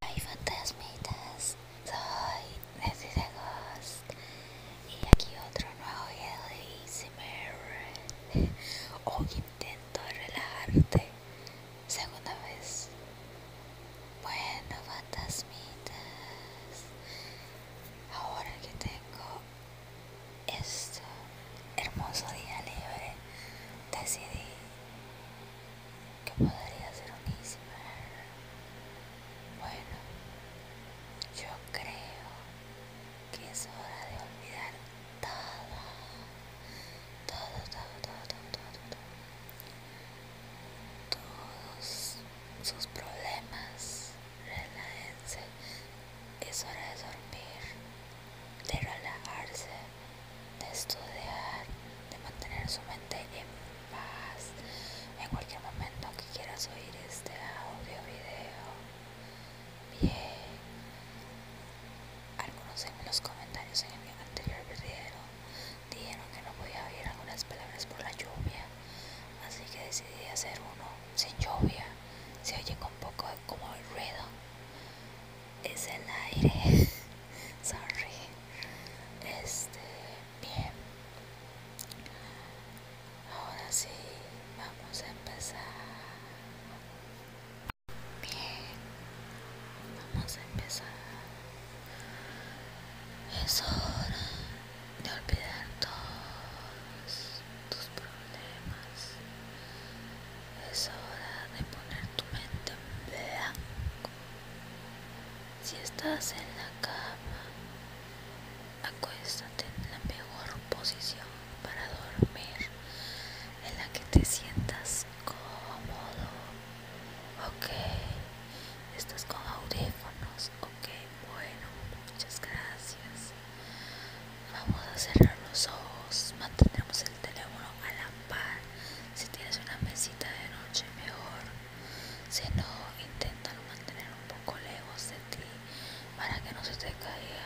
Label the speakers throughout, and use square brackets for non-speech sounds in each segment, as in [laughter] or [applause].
Speaker 1: Hola fantasmitas, soy Nessie de Ghost y aquí otro nuevo video de Hoy [laughs] oh, intento relajarte, segunda vez Bueno fantasmitas, ahora que tengo este hermoso día libre decidí que podría ser unísima. Bueno, yo creo que es hora de olvidar todo, todo, todo, todo, todo, todo, todos sus problemas. Relájense, es hora de dormir, de relajarse de estudiar, de mantener su mente en paz en cualquier momento que quieras oír este audio video. Bien, algunos en los comentarios en el anterior video dijeron que no podía oír algunas palabras por la lluvia, así que decidí hacer uno sin lluvia. Se oye con poco como el ruido es el aire [laughs] sorry este bien ahora sí vamos a empezar bien vamos a empezar es hora de olvidar todos tus problemas es hora de poner tu mente en blanco. Si estás en la cama, acuéstate en la mejor posición para dormir, en la que te sientas cómodo. Ok, estás con audífonos. Ok, bueno, muchas gracias. Vamos a cerrar los ojos, Mantenemos el teléfono a la si tienes una mesita de noche, mejor. Si no, intentan mantener un poco lejos de ti para que no se te caiga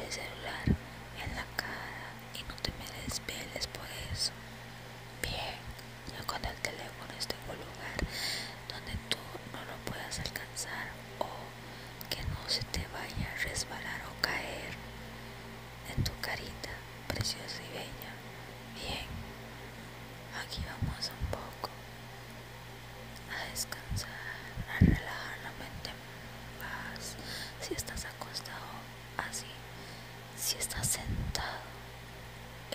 Speaker 1: el celular en la cara y no te me desveles por eso. Bien, ya cuando el teléfono esté en un lugar donde tú no lo puedas alcanzar o que no se te vaya a resbalar o caer en tu carita preciosa y bella. Bien, aquí vamos un poco a descansar, a relajar la mente en paz. Si estás acostado así, si estás sentado,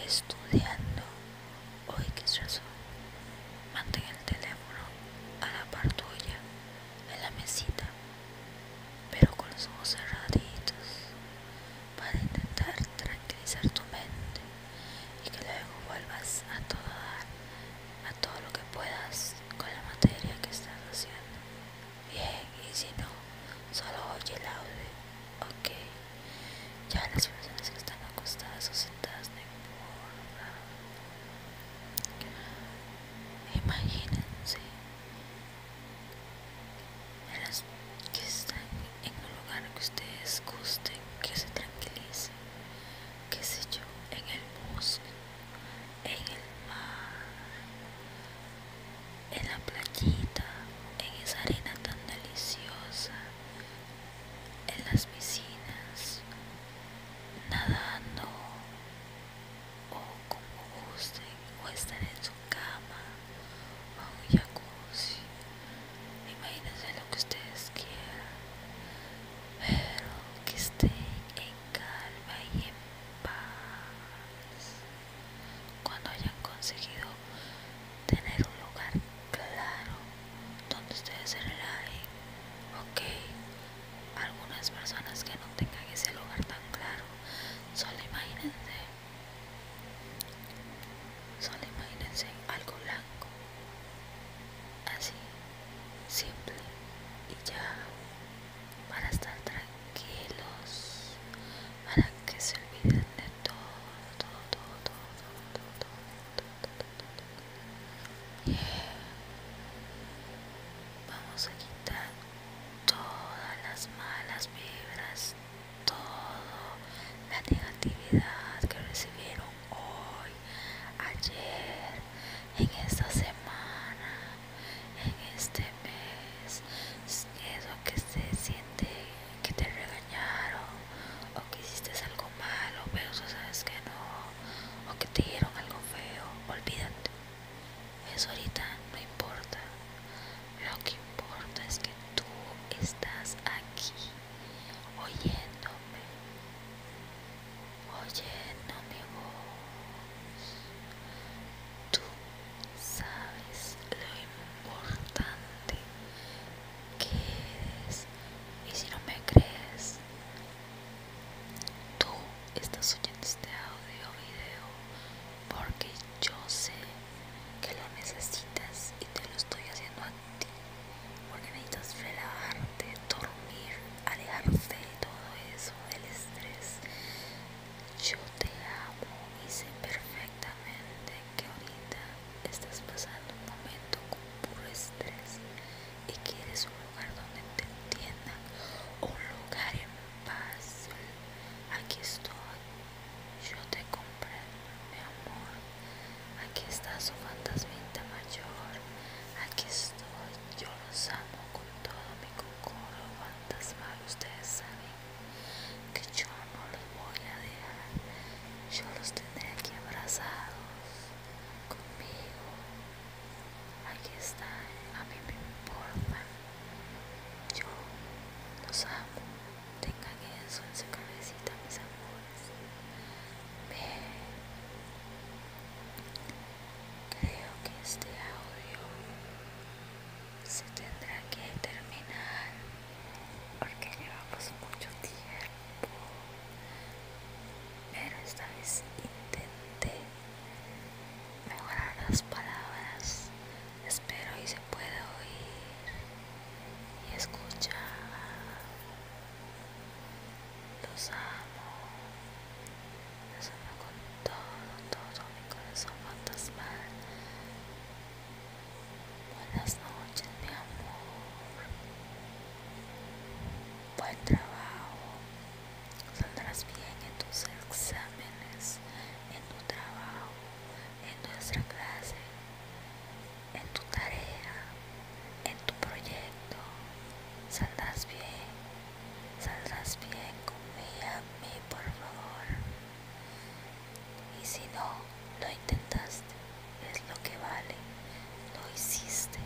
Speaker 1: estudiando o qué razón, mantén el teléfono a la par en la mesita, pero con los ojos cerraditos, para intentar tranquilizar tu mente y que luego vuelvas a todo a todo lo que puedas con la materia que estás haciendo. Bien, y si no, solo oye el audio. Ok, ya las personas que están acostadas o sentadas de importa. Imagínense que están en un lugar que ustedes gusten, que se tranquilicen, qué sé yo, en el bosque, en el mar, en la playita, en esa arena tan deliciosa, en las piscinas, nadando, o como gusten o estar en su cama o un jacuzzi imagínense lo que ustedes quieran pero que estén en calma y en paz cuando hayan conseguido tener un lugar claro donde ustedes se relajen ok algunas personas que no tengan ese lugar tan claro solo imagínense solo imagínense algo blanco así simple y ya para estar tranquilos para que se olviden de todo todo todo todo todo todo, todo, todo, todo. Vamos a quitar todas las malas vibras, toda la negatividad que recibieron hoy, ayer, en esta semana, en este mes, eso que se siente que te regañaron o que hiciste algo malo, pero tú sabes que no o que te dieron algo feo, olvídate. Eso ahorita no importa. Lo que importa es que tú estás aquí oyéndome. Oyéndome vos Tú sabes lo importante que eres. Y si no me crees, Tú estás oyendo este audio o video porque yo sé que lo necesitas y te lo estoy haciendo a ti. Porque necesitas relajarte, dormir, alejarte de todo eso, del estrés. Yo te amo y sé perfectamente que ahorita estás pasando un momento con puro estrés y quieres un lugar donde te entiendan, un lugar en paz. Aquí estoy, yo te comprendo, mi amor. Aquí está su fantasmita mayor. Aquí estoy, yo los amo con todo mi cocoro fantasmal. Ustedes saben que yo no los voy a dejar, yo los tendré aquí abrazados conmigo. Aquí está, a mi me importa. Yo los amo. Tengan eso en su cabecita, mis amores. ve Creo que este audio se tendrá que terminar porque llevamos mucho tiempo pero esta vez intenté mejorar las palabras espero y se pueda oír y escuchar los amo los amo con todo todo mi corazón fantasmal Buenas noches, mi amor. Buen trabajo. Saldrás bien en tus exámenes, en tu trabajo, en nuestra clase, en tu tarea, en tu proyecto. Saldrás bien. Saldrás bien, confía en mí, por favor. Y si no, lo intentaste, es lo que vale. Lo hiciste.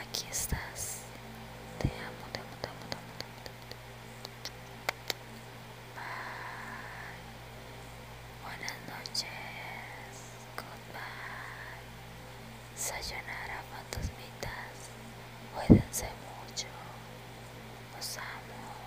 Speaker 1: Aquí estás. Te amo, te amo, te amo, te amo. Bye. Buenas noches. Goodbye. Sayonara, fantasmitas. Cuídense mucho. Los amo.